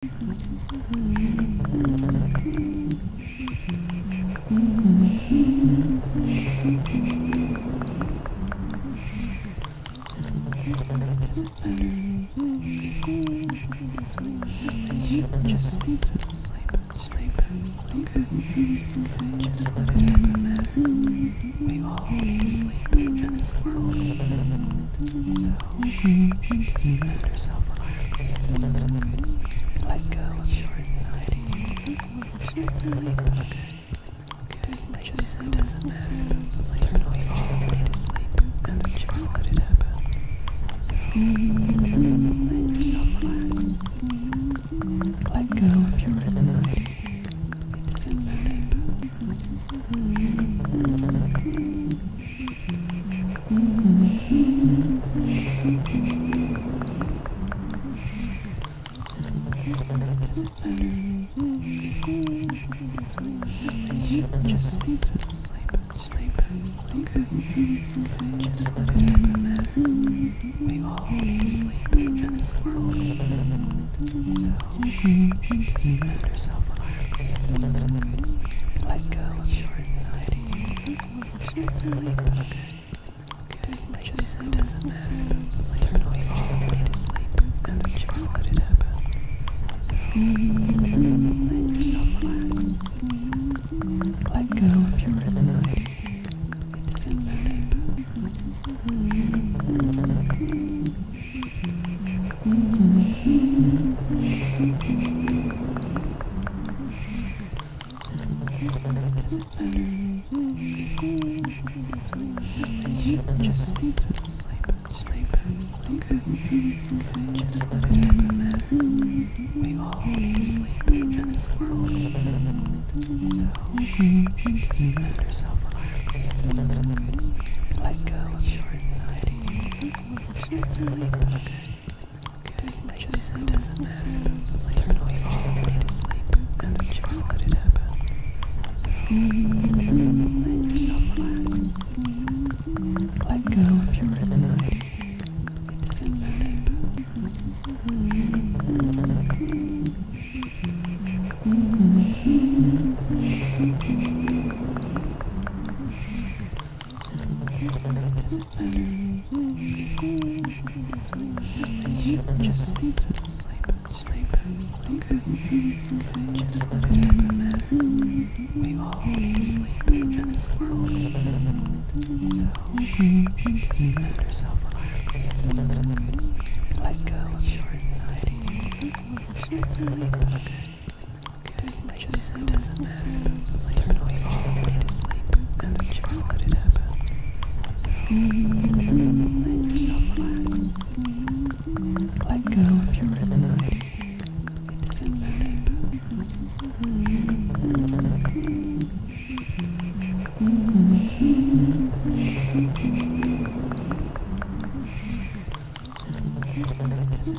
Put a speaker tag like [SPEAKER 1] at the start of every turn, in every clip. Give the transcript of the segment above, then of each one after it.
[SPEAKER 1] Just sleep, sleep, sleep, Just let it doesn't matter. We all need to in this world. Let yourself relax.
[SPEAKER 2] Let go of your anxiety. Sleep, okay? It just doesn't matter. Turn away from
[SPEAKER 3] your need to sleep and just let it happen. So, let yourself relax. Let go of your anxiety. It doesn't matter.
[SPEAKER 2] Just sleep, sleep, sleep, sleep. Okay. Just that it doesn't matter. We all need to in this world. So
[SPEAKER 1] doesn't matter. Self-relax. So
[SPEAKER 2] go go. Just, doesn't matter. Turn away from me
[SPEAKER 3] to sleep. And just let it happen. Let yourself relax. Let go of your anxiety. It just sleep, sleep, sleep. Okay.
[SPEAKER 4] Just let it doesn't matter. We all need to sleep in this world. So it doesn't
[SPEAKER 1] matter. Self relax. So go to sleep. Let go of your
[SPEAKER 5] anxiety. Sleep. Okay it doesn't matter. Turn away all the and just let it
[SPEAKER 3] happen. let yourself relax. Let go if you're doesn't matter.
[SPEAKER 1] Just let it doesn't matter. We all need to sleep in this world. So it doesn't matter. Self-reliance. So Let go of your anxiety. Sleep
[SPEAKER 5] it doesn't matter. turn away all to sleep just let it happen.
[SPEAKER 3] let yourself relax. Let go It doesn't matter.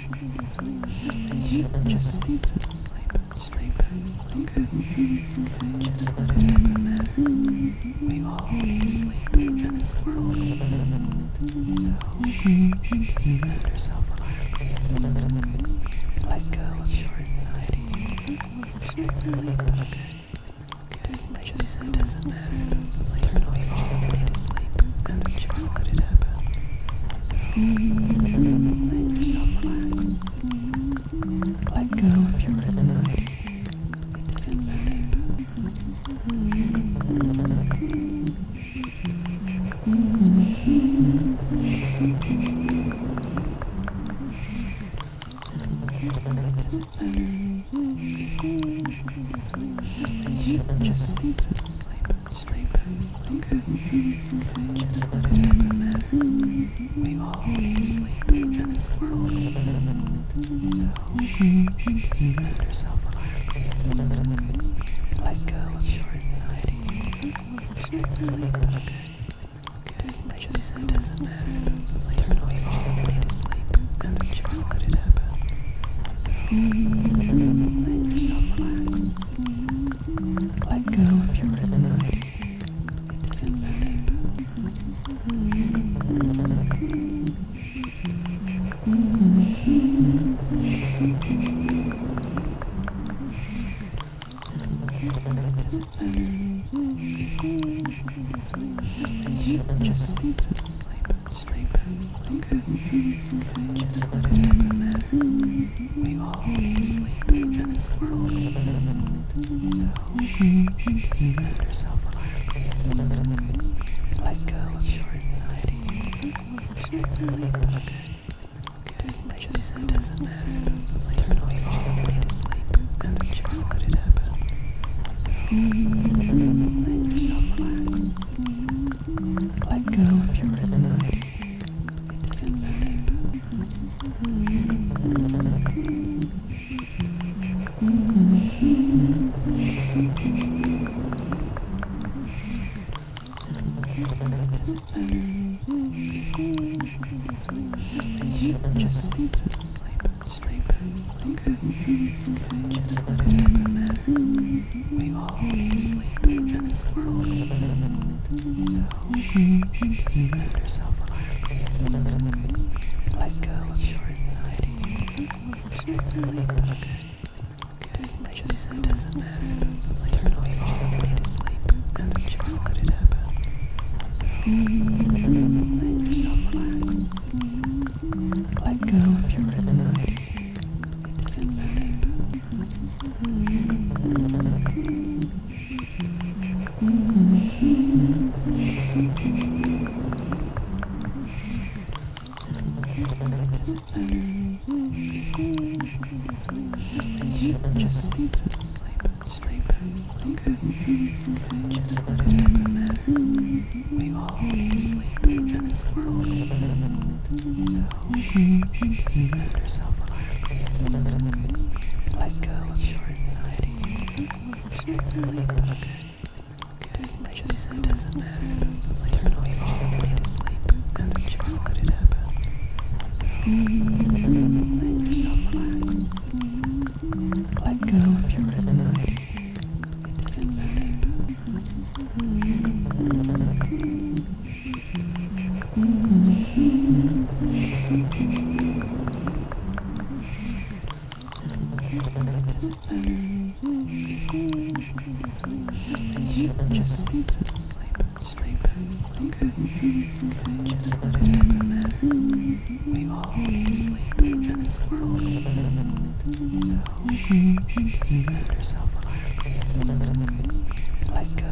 [SPEAKER 1] Just sleep, sleep, sleep, sleep. Just let it does We all need sleep in this world. So it doesn't relax. It's okay
[SPEAKER 2] Let go of your anxiety. Just sleep, okay? Okay, just it does We all
[SPEAKER 3] need sleep. And just let it happen. So let yourself relax. Let go of your rhythm. It doesn't matter. It doesn't matter.
[SPEAKER 4] So just sleep sleep, sleep, okay? Just that it doesn't matter. We all need to sleep in this world. So, it
[SPEAKER 1] doesn't matter, self-reliance. It's okay to sleep. Let go of your anxiety. Sleep, okay? Okay, sleep. just it doesn't matter. Sleep. We all
[SPEAKER 3] need to sleep. And just let it happen. So, let yourself relax. Let go of your annoying. It doesn't matter. It
[SPEAKER 4] doesn't matter. Just sleep, sleep, sleep, sleep just that it matter. We all need sleep in this world. So it doesn't
[SPEAKER 1] matter, self-reliance. So good sleep. Let go of your
[SPEAKER 5] anxiety. Just sleep, okay? Just let it doesn't matter. Sleep. We all need to sleep and just let it happen.
[SPEAKER 3] So let yourself relax. Let go of your anxiety. It doesn't matter.
[SPEAKER 4] Just sleep, sleep, sleep, sleep. Okay. Just let it doesn't matter. We all sleep in this world. So
[SPEAKER 1] it doesn't relax Let go of your anxiety. Just sleep, okay?
[SPEAKER 5] Just doesn't matter. Sleep. Turn away all to sleep
[SPEAKER 3] and just let let yourself relax. Let go of your anxiety. It doesn't matter.
[SPEAKER 1] Just sleep, sleep, sleep, sleep. Just let it doesn't matter. We all need sleep in this world. Shh, shh, let herself relax. Let go of your anxiety. Just sleep, okay? It just it doesn't matter. Turn away from your need to sleep and just let it happen. So, let yourself relax. Let go of your anxiety. It doesn't matter. Just sleep, sleep, sleep. Just that it doesn't matter. We all need sleep in this world. So doesn't matter. So, Let's go.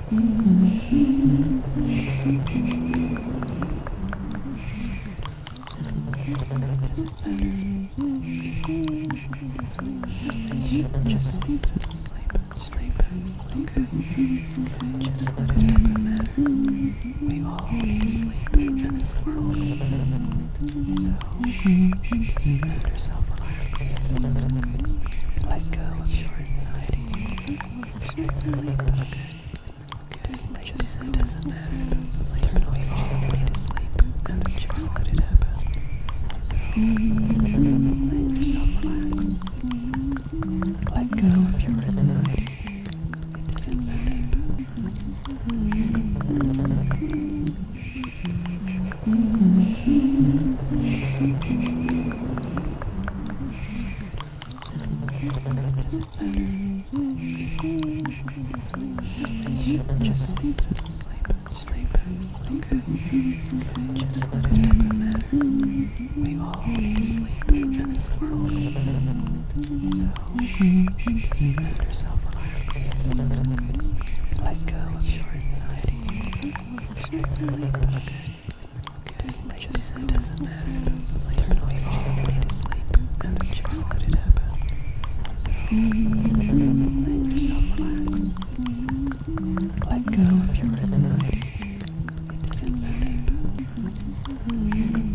[SPEAKER 3] Just sleep, sleep, sleep. Just
[SPEAKER 4] let it doesn't matter. We all need to sleep in this world. So it
[SPEAKER 1] doesn't matter. Self relax.
[SPEAKER 2] Let go of your
[SPEAKER 1] anxiety. Sleep. Okay, just it doesn't matter. Turn away all the way to sleep and just let it
[SPEAKER 3] happen. So, let yourself relax. Let go of your anxiety. It doesn't matter. So,
[SPEAKER 4] just sleep, sleep, sleep, sleep. Okay. Just let it doesn't matter. We all need to sleep in this world. So it doesn't
[SPEAKER 1] matter. Self relax. It's okay to sleep.
[SPEAKER 2] Let go of your anxiety.
[SPEAKER 5] Just sleep. Okay it doesn't matter. Turn away all to sleep just let it happen.
[SPEAKER 3] Let yourself relax. Let go of your rhythm. It doesn't matter. Mm-hmm.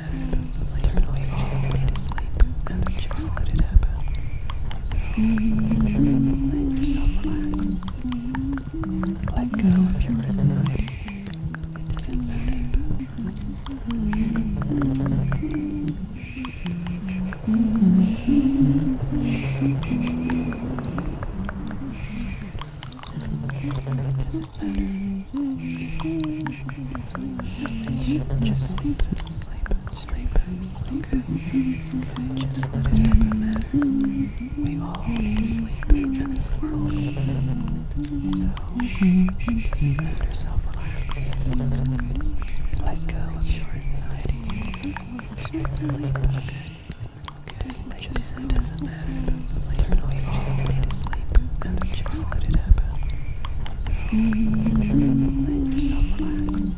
[SPEAKER 5] matters. Like, turn away everybody to sleep and just let it happen.
[SPEAKER 3] Let yourself relax. Let go of your rhythm. It doesn't matter.
[SPEAKER 1] It doesn't matter. Just sleep, sleep, sleep, Just let it doesn't matter. We all need to sleep in this world. So it doesn't relax. So good sleep. Let go of your anxiety. Sleep. Okay. Okay. Sleep. it doesn't matter. Sleep. We all need to sleep. And just let it happen. So you're let yourself relax,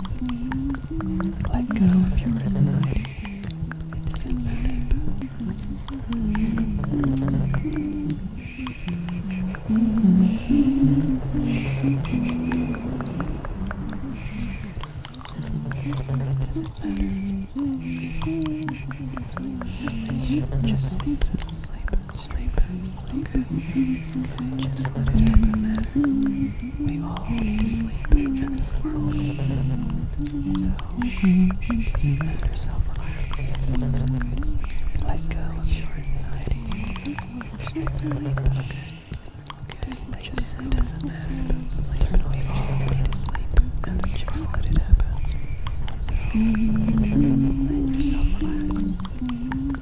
[SPEAKER 1] let go of your rhythm. doesn't matter. doesn't matter. So just sleep, sleep just like, okay, just that it doesn't matter. We all need to sleep in this world. So, it doesn't matter, self-reliance. So okay, just let go of your anxiety. Just sleep, okay? Okay, just, just it doesn't matter. Sleep. We all need to sleep, and just
[SPEAKER 3] let it happen. So, let yourself relax.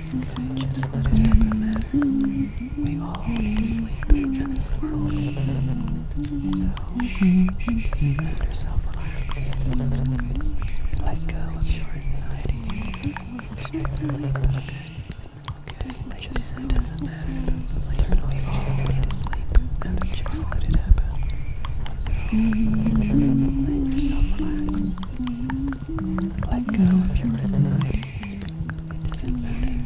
[SPEAKER 4] just that it doesn't matter. We all need sleep in this world. So
[SPEAKER 1] it doesn't relax
[SPEAKER 4] So go to sleep. Let go of your
[SPEAKER 1] anxiety. Just
[SPEAKER 5] Just, like it doesn't matter just let it happen. So let
[SPEAKER 3] yourself relax. Let go of your anxiety. It doesn't matter.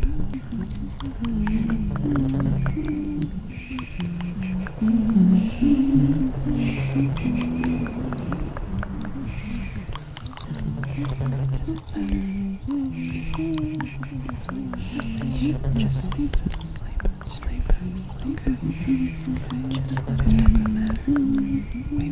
[SPEAKER 4] Just sleep, sleep, sleep, Just let it doesn't matter. We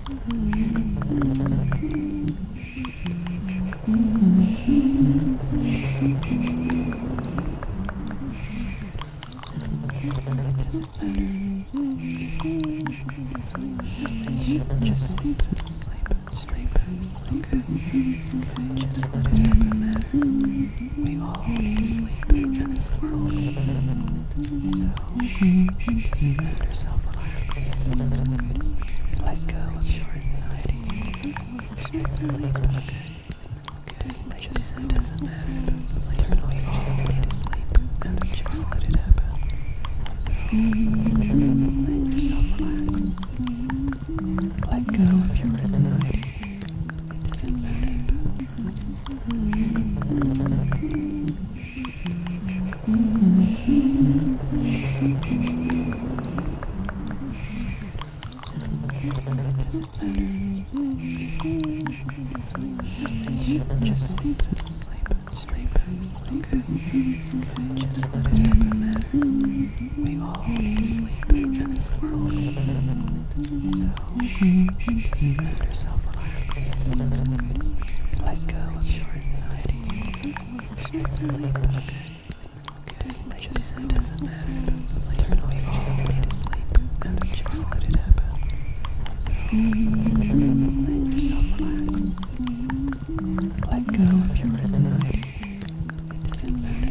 [SPEAKER 3] Just sleep, sleep, sleep. Just
[SPEAKER 1] that doesn't matter. We all need sleep in this world. Let yourself relax. Let go of your anxiety. Sleep. Okay. Just it doesn't matter. Turn off your way to sleep and just
[SPEAKER 3] let it happen. So, let yourself relax. Let go of your anxiety. It doesn't matter. Just
[SPEAKER 1] sleep, sleep, sleep. it doesn't matter. We all need sleep in this world. So it doesn't matter. Self-reliance. go sleep, okay? Just not matter. let it happen. let yourself relax. Let go of your anxiety. It doesn't matter.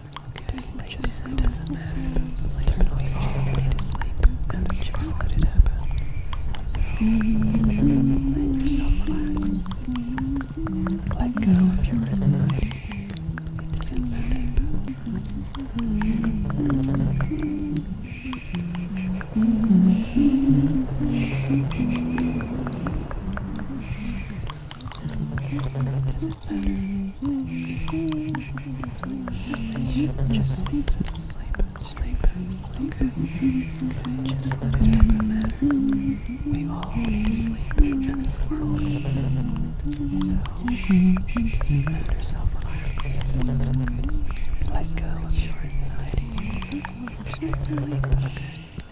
[SPEAKER 2] It doesn't matter. It doesn't matter. Turn to
[SPEAKER 3] sleep and just let it happen. Let yourself relax. Let go of your rhythm. It doesn't matter. Just sleep, sleep, sleep,
[SPEAKER 4] sleep. Okay. Just let it doesn't matter. We all need to sleep in this world. So it doesn't
[SPEAKER 1] matter. Self-reliance. go Just sleep, okay?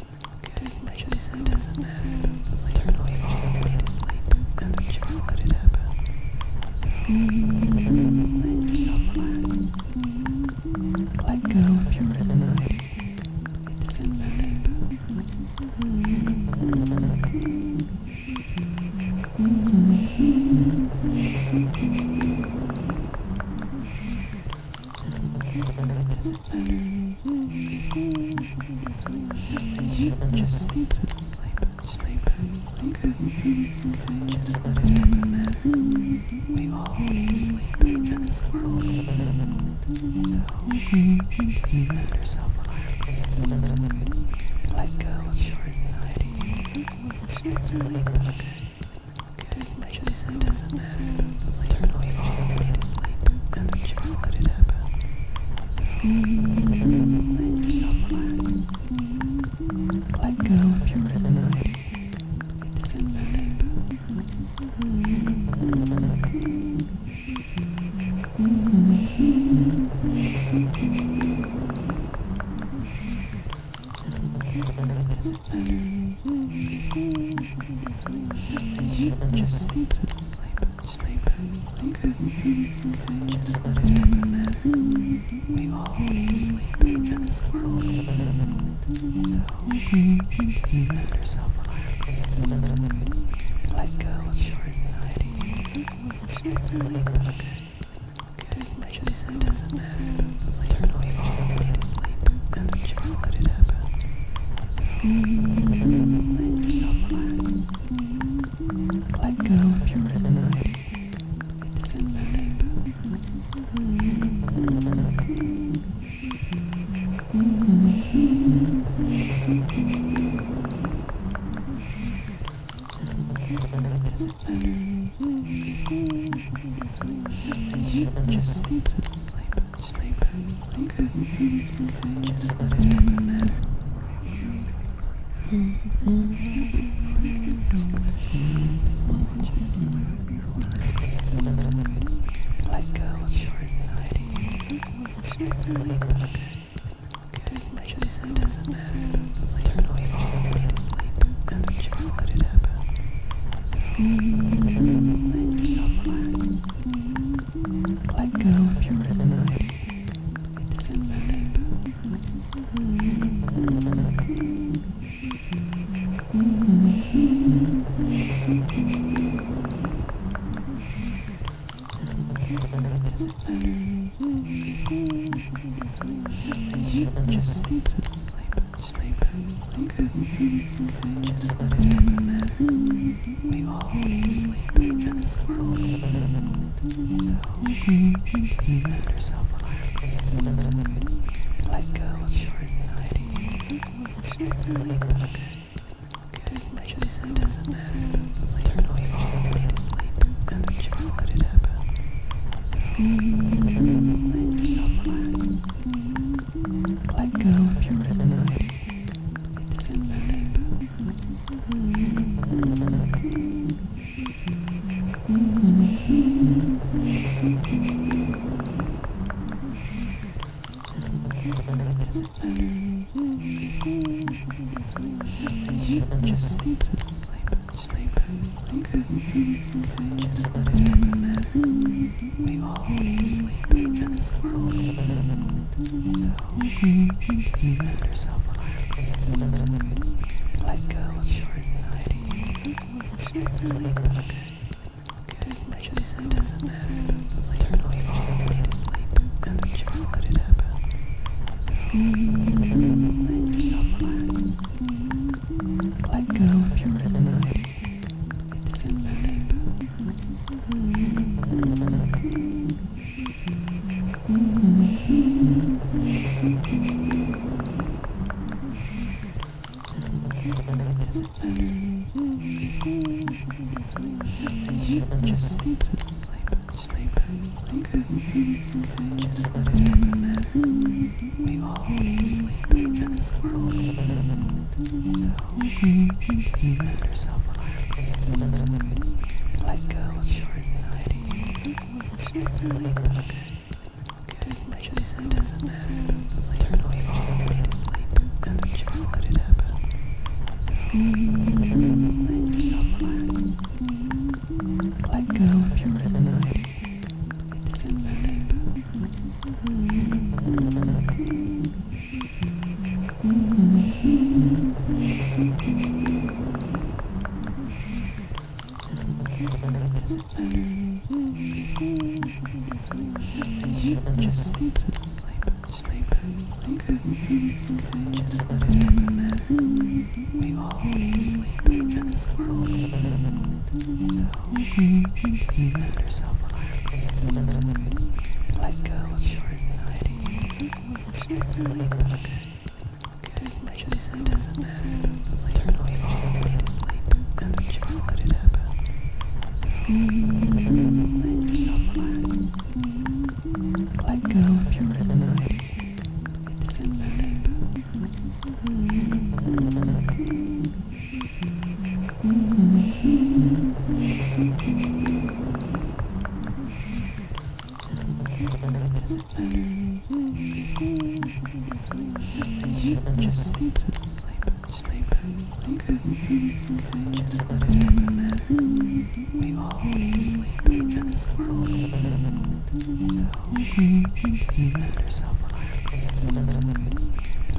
[SPEAKER 1] it
[SPEAKER 5] doesn't matter. Turn away all to sleep and just let it happen.
[SPEAKER 3] Let yourself relax. Let go of your rhythm. It doesn't matter. It
[SPEAKER 4] doesn't matter. Just sleep, sleep, sleep, sleep. Okay. Just let it doesn't matter. We all need to sleep in this world. So it doesn't matter,
[SPEAKER 1] self-reliance. It's okay to sleep. Let go of your
[SPEAKER 6] anxiety. Sleep, okay? Just, just it doesn't matter sleep. Turn away all way to sleep and just
[SPEAKER 3] let it happen. Let yourself relax. Let go of your anxiety. It doesn't sleep. It doesn't matter.
[SPEAKER 4] Just sleep, just sleep, sleep sleep, sleep. Okay. just let it. Doesn't matter. We all need to sleep in this world, so it doesn't
[SPEAKER 1] matter. Self-relax. Let okay to sleep. Let go of your Sleep. Okay. Okay, just, it doesn't matter. Sleep. We all need to sleep
[SPEAKER 3] just let it happen. Let yourself relax. Let go of your anxiety. It doesn't matter. It doesn't
[SPEAKER 6] matter. Just sleep, sleep, sleep, sleep, Okay. okay. Just that it doesn't matter. Mm -hmm. Let go of your anxiety. Just sleep, okay? Okay. Just it doesn't matter. Turn away from the way to sleep and just let it happen. Let yourself relax. Let go of your rhythm. It doesn't matter.
[SPEAKER 4] Just sleep, sleep, sleep. Okay. Just let it doesn't matter. We always sleep in this world. So it
[SPEAKER 1] doesn't matter, self-relax. So
[SPEAKER 4] Let go of your anxiety. Sleep, okay? Okay, it just it doesn't matter. Sleep. Turn off your need
[SPEAKER 3] to sleep and just let it happen. So let yourself relax. Let go of your anxiety. It doesn't matter.
[SPEAKER 4] Just sleep, sleep, sleep, Just let it doesn't matter. We all need to sleep in this world. So, just
[SPEAKER 1] let yourself relax. let go with short nights. doesn't matter. turn on your phone, need to sleep, and just
[SPEAKER 3] let it happen. So, let yourself relax. Let go of your inner night. doesn't sleep. Just sleep,
[SPEAKER 4] sleep, sleep, sleep. just let it doesn't matter. We all need sleep in this world. Let's
[SPEAKER 1] go. Sleep. Okay. Just it doesn't matter. Turn away
[SPEAKER 3] all way to sleep. And just let it happen. Let yourself relax. Let go of your anxiety. It doesn't sleep.
[SPEAKER 1] Just sleep, sleep, sleep. Just that it doesn't matter. We all need to sleep in this world. So it doesn't matter. Self-relax. Let go of Sleep, okay. Okay, sleep just, it doesn't matter. Sleep, turn off
[SPEAKER 3] your way to sleep just let it happen. Let yourself relax. Let go of your rhythm. It doesn't
[SPEAKER 1] just sleep, sleep, sleep, sleep. Okay. Just let it doesn't matter. We all need to sleep in this world. So it doesn't matter. Self relax.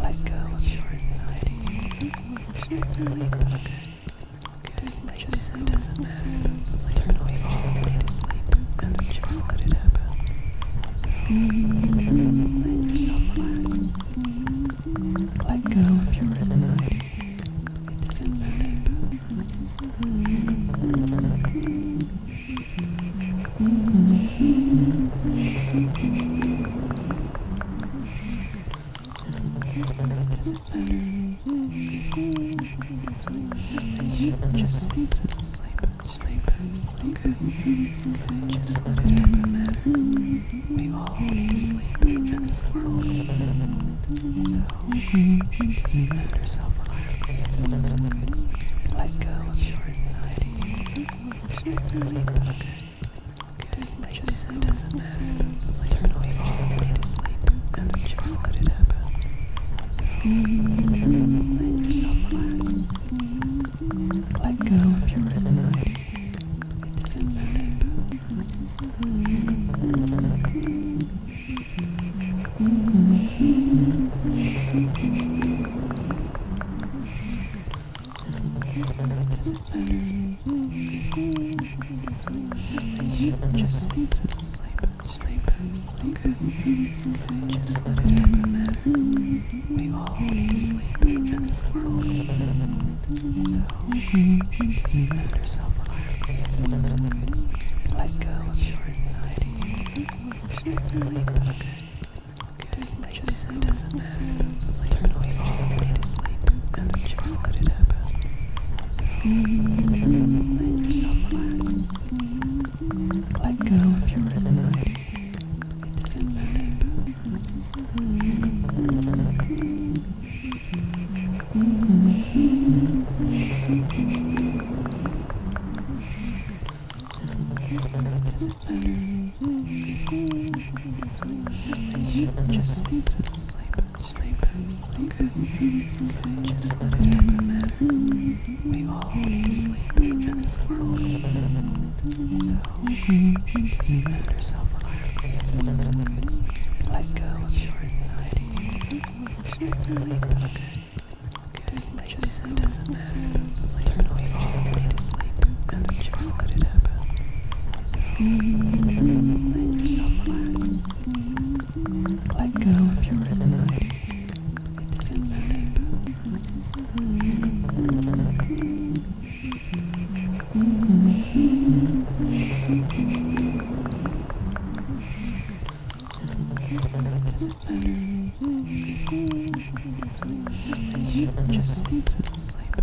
[SPEAKER 1] Let go of your anxiety. Just sleep, okay? Okay, sleep just it doesn't matter. Sleep turn away
[SPEAKER 3] all the way to sleep and just let it happen. Let yourself relax. Let go of your rhythm. It doesn't matter. So just
[SPEAKER 4] sleep, sleep, sleep, sleep. Okay. Just let it doesn't matter. We all need sleep in this world. So it doesn't matter, Let's go. Short Sleep, okay it doesn't matter. Turn off somebody to
[SPEAKER 3] sleep and just let it happen. Let yourself relax. Let go of your anxiety. It doesn't
[SPEAKER 4] sleep. Just sleep, sleep, sleep, sleep. Just let it doesn't matter. We all need to sleep in this world. So it
[SPEAKER 1] doesn't matter. Self-reliance. It's okay to sleep. Let go Sleep. Okay. Okay. it doesn't matter.
[SPEAKER 5] We all need to sleep. And just let it happen. Let
[SPEAKER 3] yourself relax. Let go of your rhythm. It doesn't matter. It
[SPEAKER 1] doesn't matter. Just sleep. Sleep. Sleep in, sleep in. Okay. Just that it doesn't matter. We all need to sleep in this world. So it doesn't matter. Self relax. Let go of your anxiety. Just sleep,
[SPEAKER 5] okay? Okay. Just it doesn't matter. Sleep. We all need to sleep. And just let it happen. So let
[SPEAKER 3] yourself relax. Let go of your rhythm. It doesn't matter. it
[SPEAKER 1] doesn't matter. So just sleep.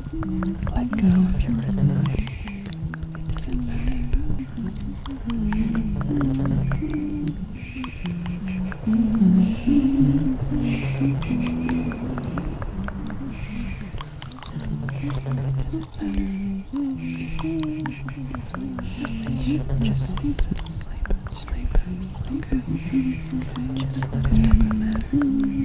[SPEAKER 3] Let go of your rhythm. It doesn't matter.
[SPEAKER 7] Just sleep, sleep, sleep. Okay. Just let
[SPEAKER 1] it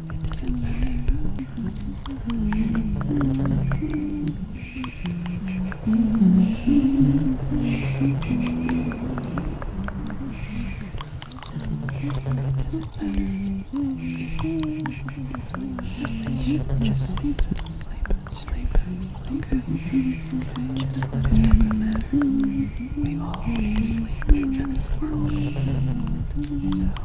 [SPEAKER 3] It doesn't matter.
[SPEAKER 1] Just sleep, sleep, sleep, sleep. Just let it doesn't matter. We all need to in this world.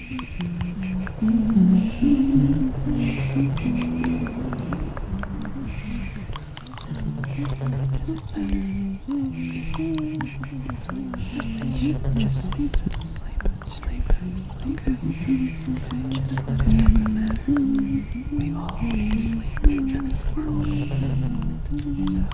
[SPEAKER 3] Just sleep, sleep,
[SPEAKER 4] sleep, sleep. Okay. Just that it doesn't matter. We all need to sleep in this world. So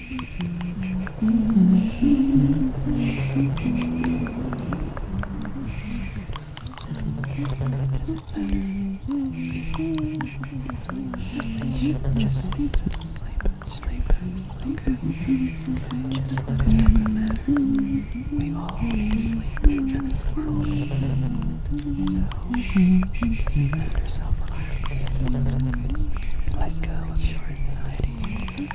[SPEAKER 3] let it doesn't
[SPEAKER 1] matter. We all need to sleep in this world. So doesn't matter. Self-reliance. Let go of your anxiety.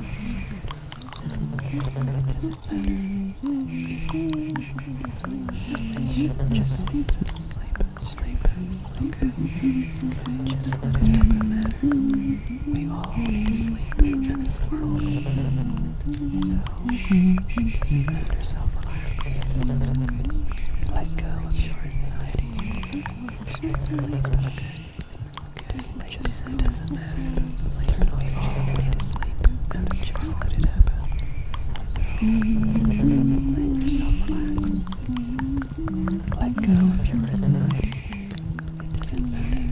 [SPEAKER 1] Just sleep, sleep, sleep, sleep. Just let it doesn't matter. We all need to sleep in this world. So it doesn't matter. Self-relax. So Let's go with your anxiety. Sleep, okay let it doesn't matter. Turn off your to
[SPEAKER 3] sleep just let it happen. Let yourself relax. Let go of your anxiety. It doesn't matter.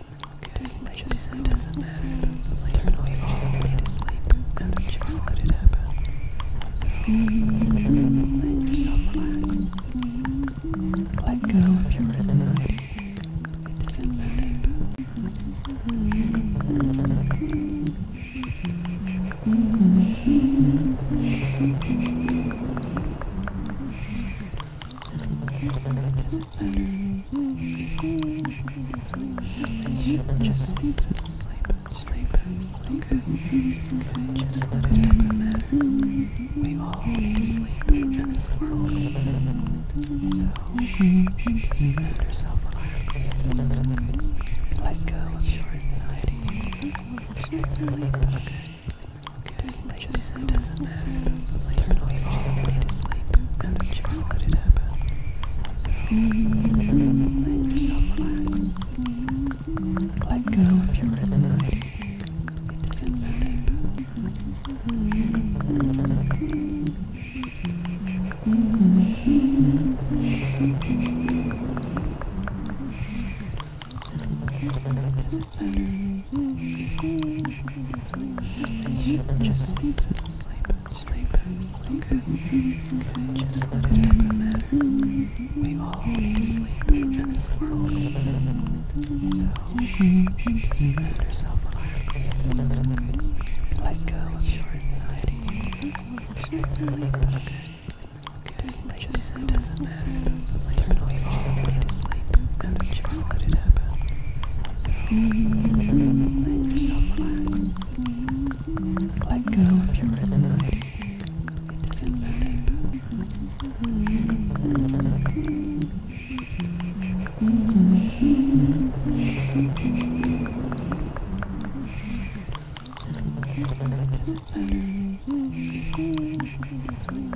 [SPEAKER 2] Okay, just let it sleep. It doesn't matter. Turn off your way to sleep and just let it happen. Let yourself relax. Let go of your anxiety. It doesn't matter.
[SPEAKER 1] It doesn't just sleep, sleep, sleep, sleep. Okay. Just let it doesn't matter. We all need to sleep in this world. So it doesn't matter. Self relax. Let go of your anxiety. Just sleep. Okay. Just let it just, it doesn't matter. Sleep. We all need
[SPEAKER 3] to sleep. And just let it happen. So let yourself relax. Let go of your rhythm. It doesn't matter. So it
[SPEAKER 4] doesn't matter. So just sleep sleep, sleep, okay. Just let it does matter. We all need to sleep in this world. So it
[SPEAKER 1] does relax. So
[SPEAKER 2] Let go of your anxiety.
[SPEAKER 1] Sleep, okay. Just, it it doesn't matter. We need
[SPEAKER 5] to sleep. just let it happen. So
[SPEAKER 3] let yourself relax. Let go of your rhythm. It doesn't matter. It doesn't matter.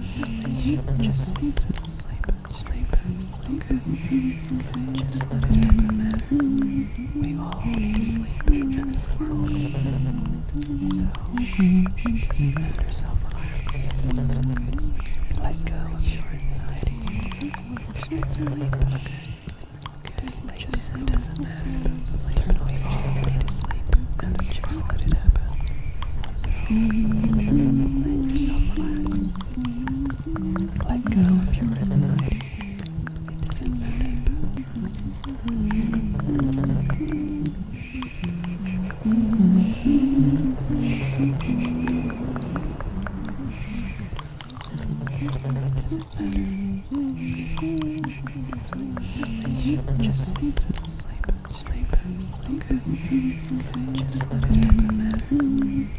[SPEAKER 1] Just sleep and sleep sleep, sleep, okay. okay. Just let it doesn't matter. We all need to sleep in this world. So it doesn't relax It's okay go of your
[SPEAKER 6] We all need to sleep. And just let
[SPEAKER 3] it happen. let yourself relax. Let go of your rhythm. It doesn't matter.
[SPEAKER 1] sleep, sleep, sleep. Just let it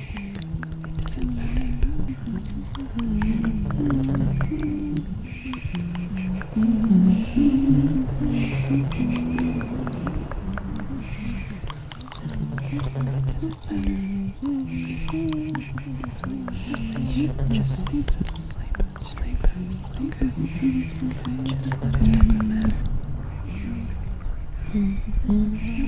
[SPEAKER 3] It doesn't matter.
[SPEAKER 6] Just sleep, sleep, sleep, sleep. Okay. Just let it doesn't matter. Let go of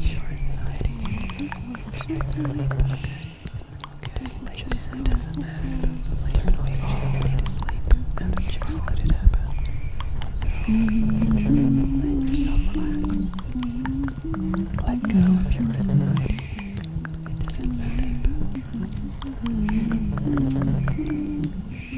[SPEAKER 2] your anxiety. Sleep, okay? It doesn't, just, it doesn't matter. Turn away from the
[SPEAKER 3] way to sleep and just let it happen. So, let yourself relax. Let go of your anxiety. It doesn't matter.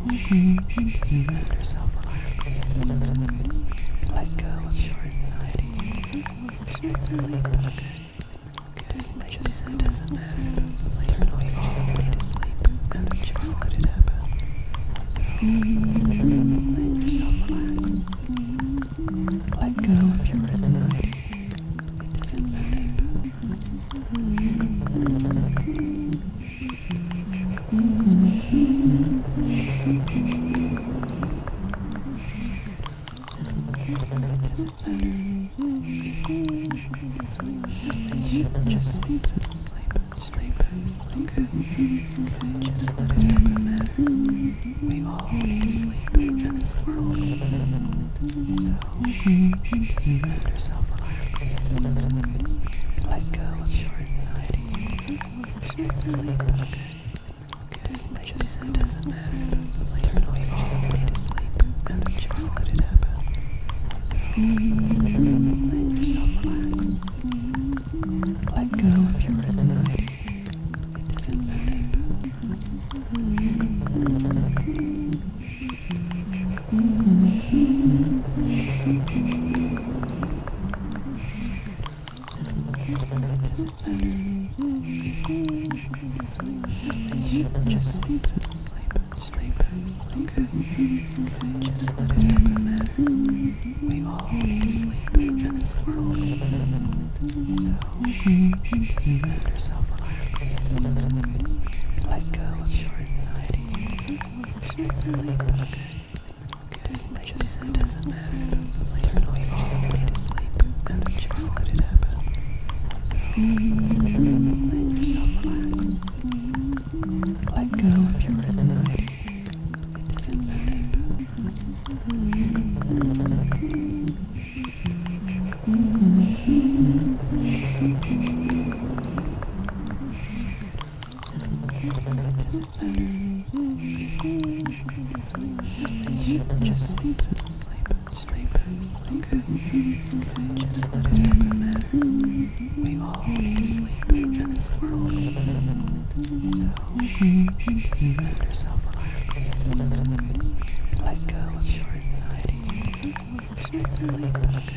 [SPEAKER 2] Let yourself relax. Let go of your anxiety. Sleep, okay? It just it doesn't matter. Turn off your way to
[SPEAKER 3] sleep and just let it happen. So, let yourself relax. Let go of your anxiety. It doesn't matter. Just
[SPEAKER 4] sleep, sleep, sleep, sleep. Okay. Just that it matter. We all need to in this world. So doesn't
[SPEAKER 1] matter. Self-relax.
[SPEAKER 4] So Let go
[SPEAKER 5] just Just it doesn't matter. Turn away everybody to sleep and just let it happen. Let
[SPEAKER 3] yourself relax. Let go of your rhythm. It doesn't matter. Just sleep, sleep, sleep,
[SPEAKER 1] Just let it doesn't matter. We all need to sleep in this world. So it doesn't matter, self-relax. Let go of your Just sleep, okay?
[SPEAKER 5] Okay, doesn't like just it doesn't matter. to sleep. And just let it happen. So, let yourself
[SPEAKER 3] relax. Let go of your rhythm. It doesn't matter doesn't
[SPEAKER 1] matter. Just sleep, sleep, sleep, sleep. Good. Just that it doesn't matter. We all need to sleep in this world. So it doesn't matter. Self relax. So Let go of your anxiety. Sleep. Okay.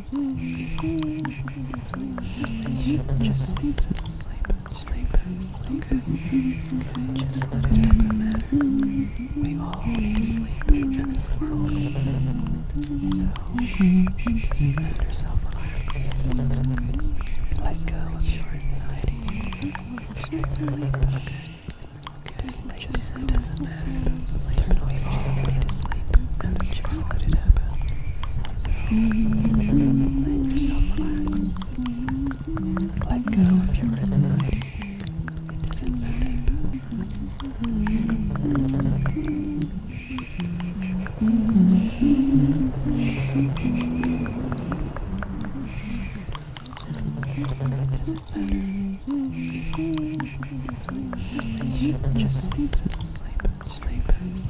[SPEAKER 1] Just sleep, sleep, sleep, sleep. Okay. okay. Just let it doesn't matter. We all need to sleep in this world. So it doesn't matter. Self relax. So
[SPEAKER 2] Let go of your anxiety. Just sleep. Okay. It doesn't, it just, it doesn't matter. Sleep. We
[SPEAKER 3] all need to sleep. And just let it happen. Let yourself relax. Let go of your anxiety. It doesn't matter. It
[SPEAKER 2] doesn't matter. Just sleep, sleep, sleep, sleep.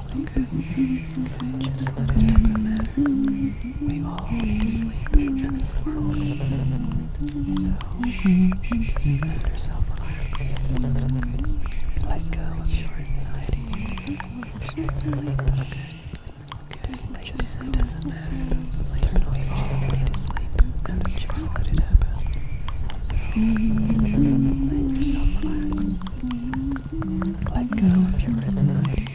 [SPEAKER 4] Okay. Okay, just that it doesn't matter. We all need to sleep in this world. So, it doesn't
[SPEAKER 1] matter, self-relax. It's okay to sleep.
[SPEAKER 2] Let go of your anxiety.
[SPEAKER 1] Just sleep, okay? Okay, just, like just
[SPEAKER 5] it doesn't matter. Sleep. Turn away all need to sleep and just let it happen.
[SPEAKER 3] So, let yourself relax. Let go of your anxiety.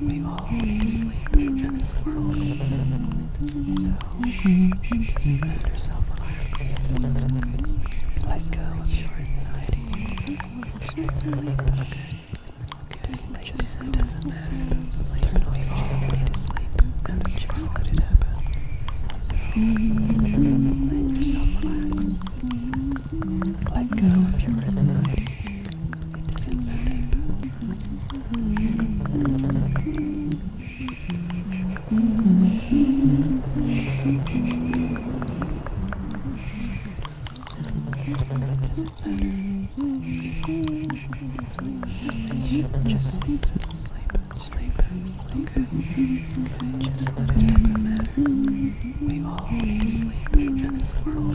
[SPEAKER 1] We all need to sleep in this world. So, it doesn't relax. Let go of your anxiety. It doesn't matter.
[SPEAKER 5] Sleep. We all need to sleep.
[SPEAKER 3] And just let it happen. let yourself relax. Let go of your anxiety. It doesn't matter. Just sleep, sleep, sleep,
[SPEAKER 1] Just let it doesn't matter. We all need sleep in this world.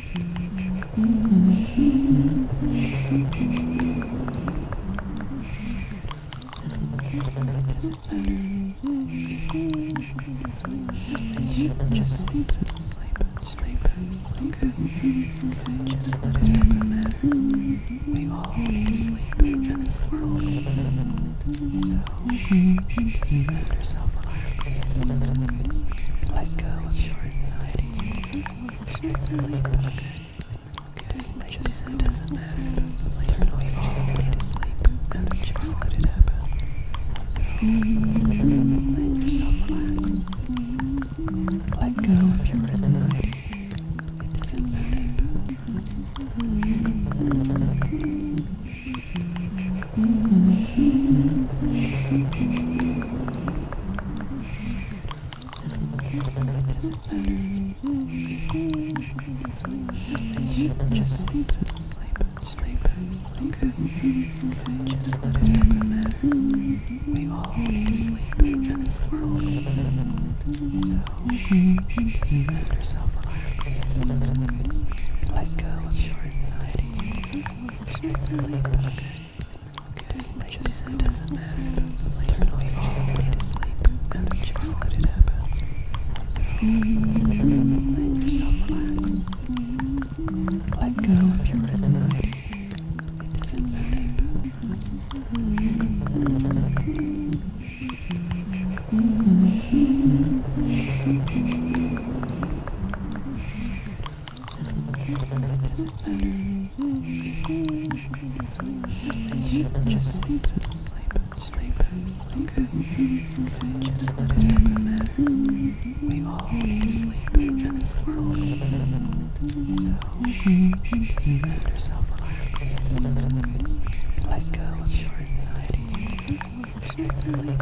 [SPEAKER 1] Just sleep, sleep, sleep, Just that it matter. We all need sleep in this world. So,
[SPEAKER 4] just
[SPEAKER 1] let yourself relax. Let
[SPEAKER 2] go of your anxiety. Sleep. Okay. Just it doesn't matter. Turn away from your
[SPEAKER 3] need to sleep. And just let it happen. So, let yourself relax. Let go of your anxiety. It doesn't matter. Just sleep, let it
[SPEAKER 4] doesn't matter. We all need sleep in this world. So
[SPEAKER 1] it doesn't matter, self relax. So, let go of it's really okay. Okay, just it doesn't matter. Turn away everybody
[SPEAKER 3] to sleep and just let it happen. So, let yourself relax. Let go of your rhythm. It doesn't matter. So, just sleep, sleep,
[SPEAKER 4] sleep, sleep. Just let it doesn't matter. We all need sleep in this world. So it doesn't
[SPEAKER 1] matter. Self relax.
[SPEAKER 2] Let go
[SPEAKER 5] of Sleep.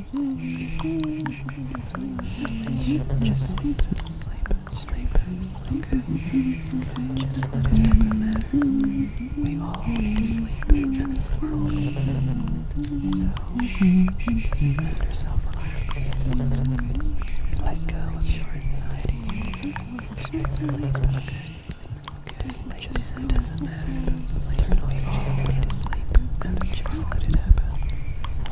[SPEAKER 1] Just sleep, sleep, sleep, Just that it does We all need sleep in this world. So it doesn't relax It's okay to sleep. Let Just sleep. Okay. just let it happen.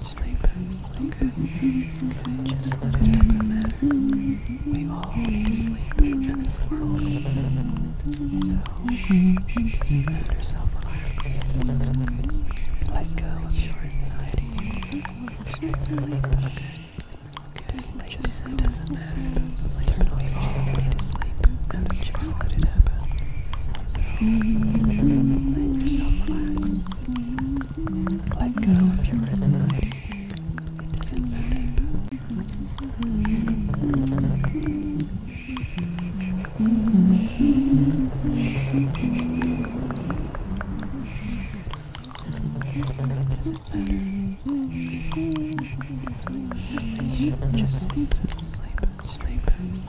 [SPEAKER 1] sleep, sleep, okay. okay. Just that it doesn't matter. We all need to sleep in this world. So, it doesn't matter, self-relax. It's okay to sleep.
[SPEAKER 2] Let go of your anxiety. Just sleep, okay? Okay, just, just it doesn't matter. Sleep, we all need
[SPEAKER 3] to sleep. And just let it happen. So, let yourself relax. Let go of your rhythm. It doesn't matter.
[SPEAKER 4] Just sleep, sleep, sleep, sleep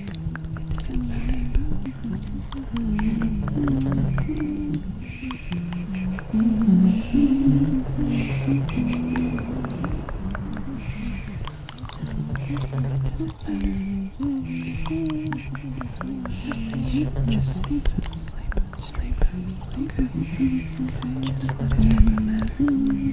[SPEAKER 3] It doesn't matter.
[SPEAKER 4] Just sleep, sleep, sleep. Okay. Just let it doesn't matter.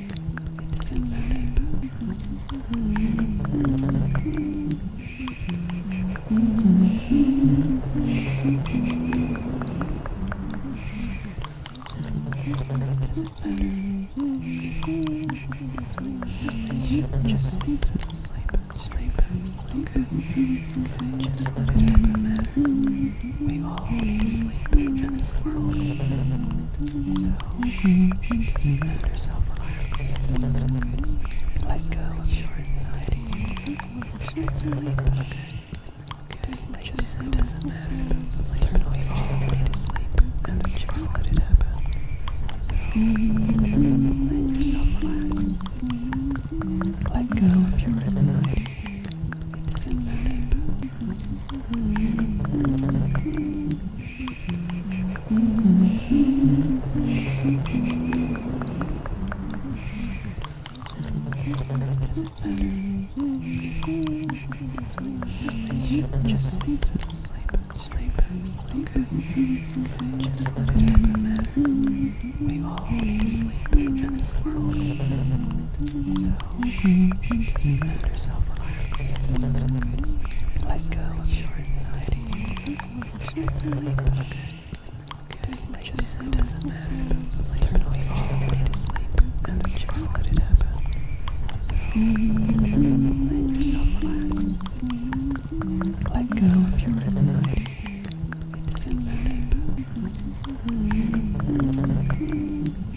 [SPEAKER 5] It doesn't matter.
[SPEAKER 1] Just sleep, sleep, sleep, sleep. Okay. Just let it doesn't matter. We all need to sleep in this world. So does relax Let go of your anxiety. it doesn't matter.
[SPEAKER 5] Turn away from your and just let it happen.
[SPEAKER 3] let yourself relax. Let go of your anxiety. Just sleep, sleep, sleep.
[SPEAKER 1] Just that it doesn't matter. We all need to sleep in this world. So it doesn't matter. Self relax. Let go of your anxiety. Sleep, okay? Okay, just it doesn't matter. Turn away your way to sleep and just let it happen. Let yourself relax. Let go of your anxiety. It doesn't matter.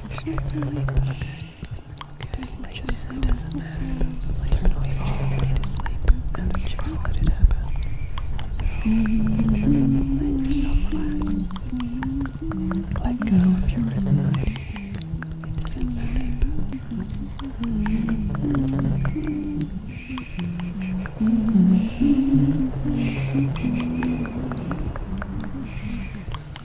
[SPEAKER 2] It's okay. okay. Just it doesn't matter. Turn away all the
[SPEAKER 3] way to sleep and just let it happen. So let yourself relax. Let go of your anxiety. It doesn't matter. So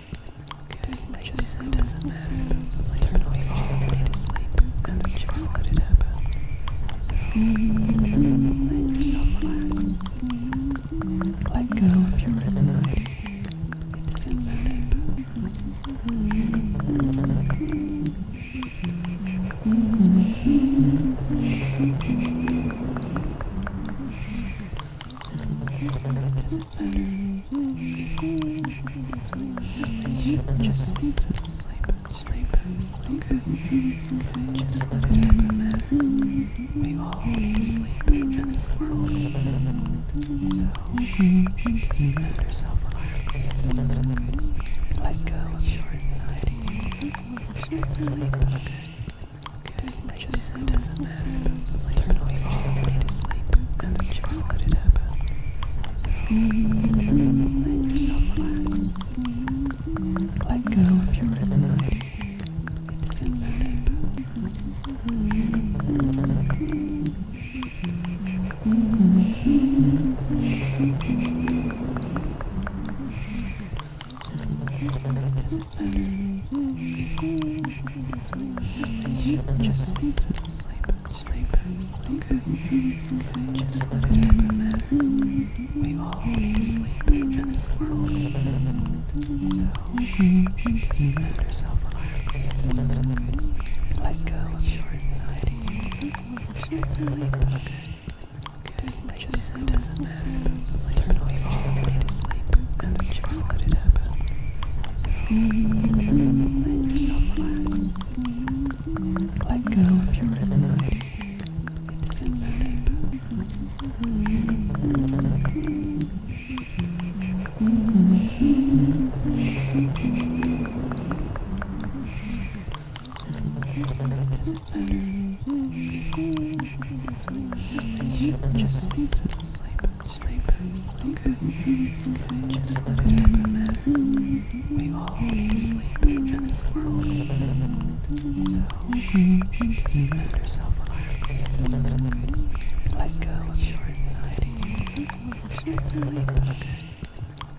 [SPEAKER 1] it doesn't matter. Turn
[SPEAKER 5] away somebody to just let it happen. Let yourself relax. Let go of your anxiety. It doesn't matter.
[SPEAKER 4] Just sleep, sleep, sleep, sleep. Okay. Just let it doesn't matter. We all need to sleep in this world. So it doesn't
[SPEAKER 1] matter. Self relax. It's okay to sleep.
[SPEAKER 2] Let go of your anxiety.
[SPEAKER 5] Just sleep. Okay. Okay. Just I just, it doesn't matter if I'm sleeping awake, I need to sleep, and just let it happen.
[SPEAKER 3] Let yourself relax. Let go of your rhythm. It doesn't
[SPEAKER 4] matter. It doesn't matter. Just sleep, sleep, sleep, sleep. Just that it doesn't matter. We all need to sleep in this world. So
[SPEAKER 1] it doesn't matter. Self-relax. So Let go of your anxiety. Sleep. Okay. Okay. Just it doesn't matter. Sleep. We all need to sleep. And just
[SPEAKER 3] let it happen. Let yourself relax. Let go of your rhythm. It doesn't matter. It
[SPEAKER 1] doesn't matter. Just sleep. Just sleep sleep, sleep, okay? okay. Just that it doesn't matter. We all need to sleep in this world. So, it doesn't matter, self-reliance. So okay, just let go of your anxiety. Just sleep, okay?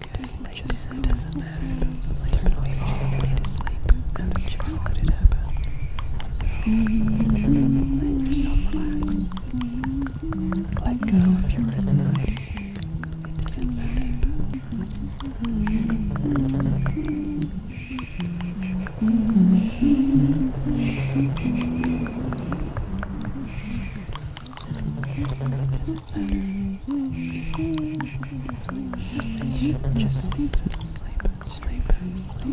[SPEAKER 1] Okay, just it doesn't matter. Sleep. We all need to sleep. And just let it happen. So, let yourself relax. Let go of your annoying. It doesn't matter. Just sleep, sleep, sleep, sleep.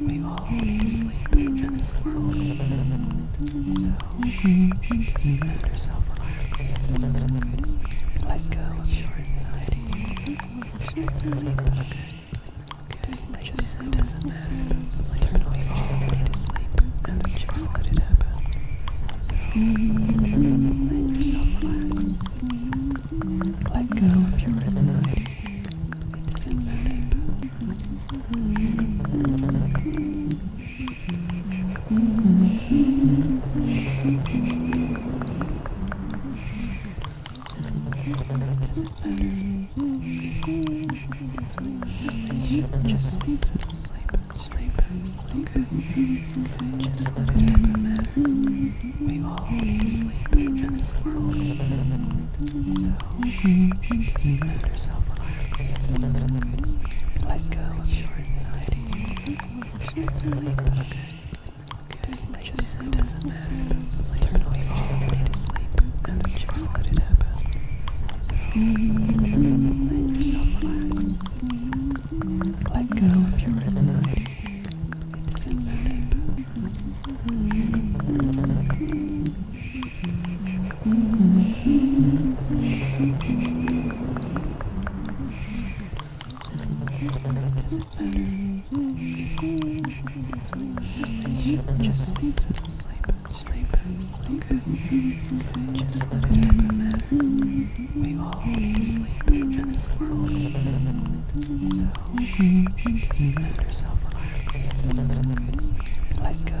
[SPEAKER 4] We all need to sleep in this world. So it
[SPEAKER 1] doesn't matter, relax It's okay to sleep. Let go let it
[SPEAKER 5] happen. let
[SPEAKER 3] yourself relax. Let go of your anxiety. It doesn't matter.
[SPEAKER 4] Just sleep, sleep, sleep, sleep. Just let it doesn't matter. We all need sleep in this world. So doesn't matter,
[SPEAKER 1] self-relax. Let go of your
[SPEAKER 5] anxiety. Sleep, okay? It just it doesn't matter. Turn away from your to sleep and just let it happen. So let
[SPEAKER 3] yourself relax. Let go of your anxiety. It doesn't matter.
[SPEAKER 1] Just sleep, sleep, sleep. Just that it doesn't matter. We all need sleep in this world. So it doesn't matter. self Let's go.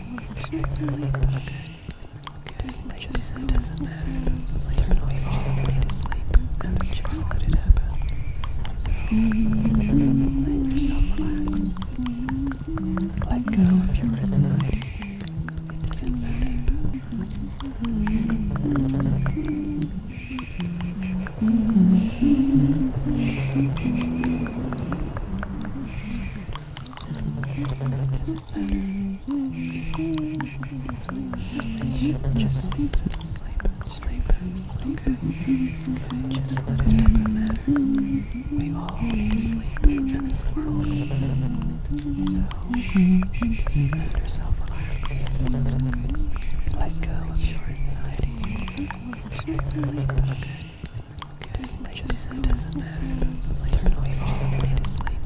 [SPEAKER 1] Okay, just it doesn't matter. Turn off your
[SPEAKER 3] way to sleep and just let it happen. So, let yourself relax. Let go of your anxiety. It doesn't matter. So, just
[SPEAKER 4] sleep, sleep, sleep, sleep. Okay. Just let it doesn't matter. We all need to sleep in this world. So it
[SPEAKER 1] doesn't matter. Self-relax. It's okay to sleep. Let go of your anxiety. Just sleep, okay? Okay, sleep it does Turn away your
[SPEAKER 3] to sleep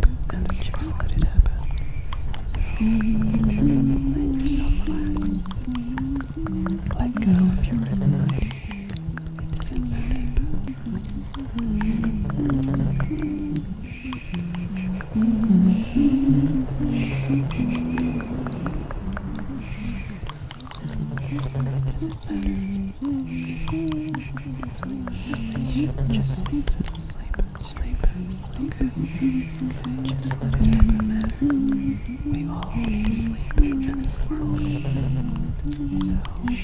[SPEAKER 3] just let it happen. Let yourself relax. Let go of your rhythm. It doesn't matter.
[SPEAKER 4] Just sleep, sleep, sleep, Just let it doesn't matter. We all need sleep in this world. So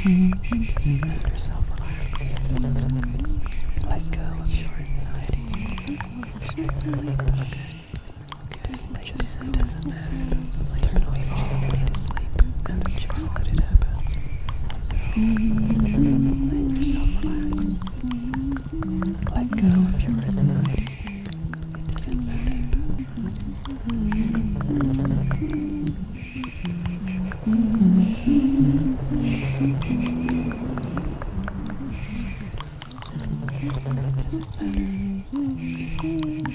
[SPEAKER 4] it
[SPEAKER 1] doesn't matter. Self relax. Let go of your anxiety. Sleep. Okay.
[SPEAKER 5] Okay it doesn't matter Turn away your need and just let it happen.
[SPEAKER 3] Let yourself relax. Let go of your anxiety. It doesn't
[SPEAKER 1] matter. It doesn't matter.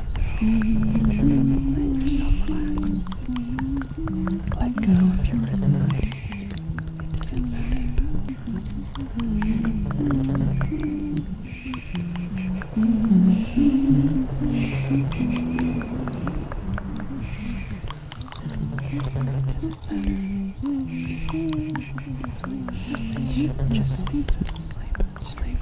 [SPEAKER 5] So let yourself
[SPEAKER 3] relax. Let go of your anxiety. It doesn't matter. It
[SPEAKER 1] doesn't matter. Just sleep, sleep, sleep, sleep,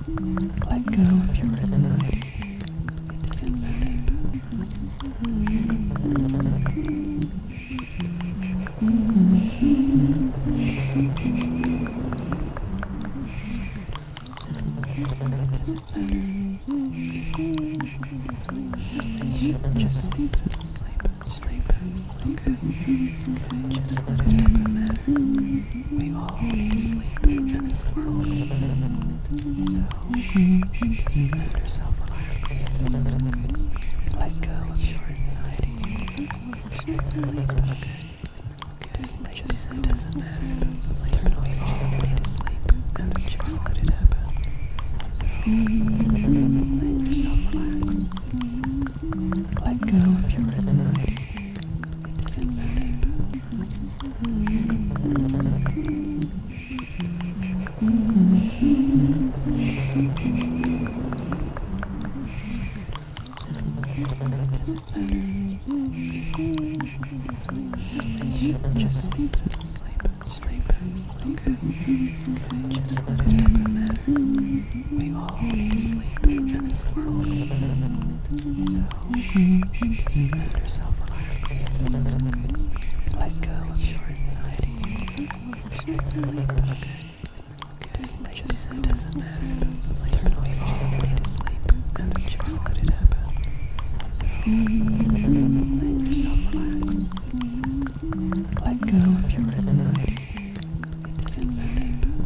[SPEAKER 3] Let go of your rhythm. It doesn't matter.
[SPEAKER 7] Just sleep, sleep, sleep, sleep. Okay. Conscious that it doesn't matter.
[SPEAKER 1] We all need sleep in this world. So it doesn't relax So go to sleep. Let go of your anxiety. Just, just it doesn't matter. Sleep. We all need
[SPEAKER 3] to sleep. And just let it happen. So let yourself relax. Let go of your anxiety.
[SPEAKER 1] Just sleep, sleep, sleep. Okay. Just let it doesn't matter. We all need to sleep in this world. So it does relax It's okay go of your it doesn't matter. Turn away
[SPEAKER 3] all to sleep and just let it happen. let yourself relax. Let go of your anxiety. It doesn't matter.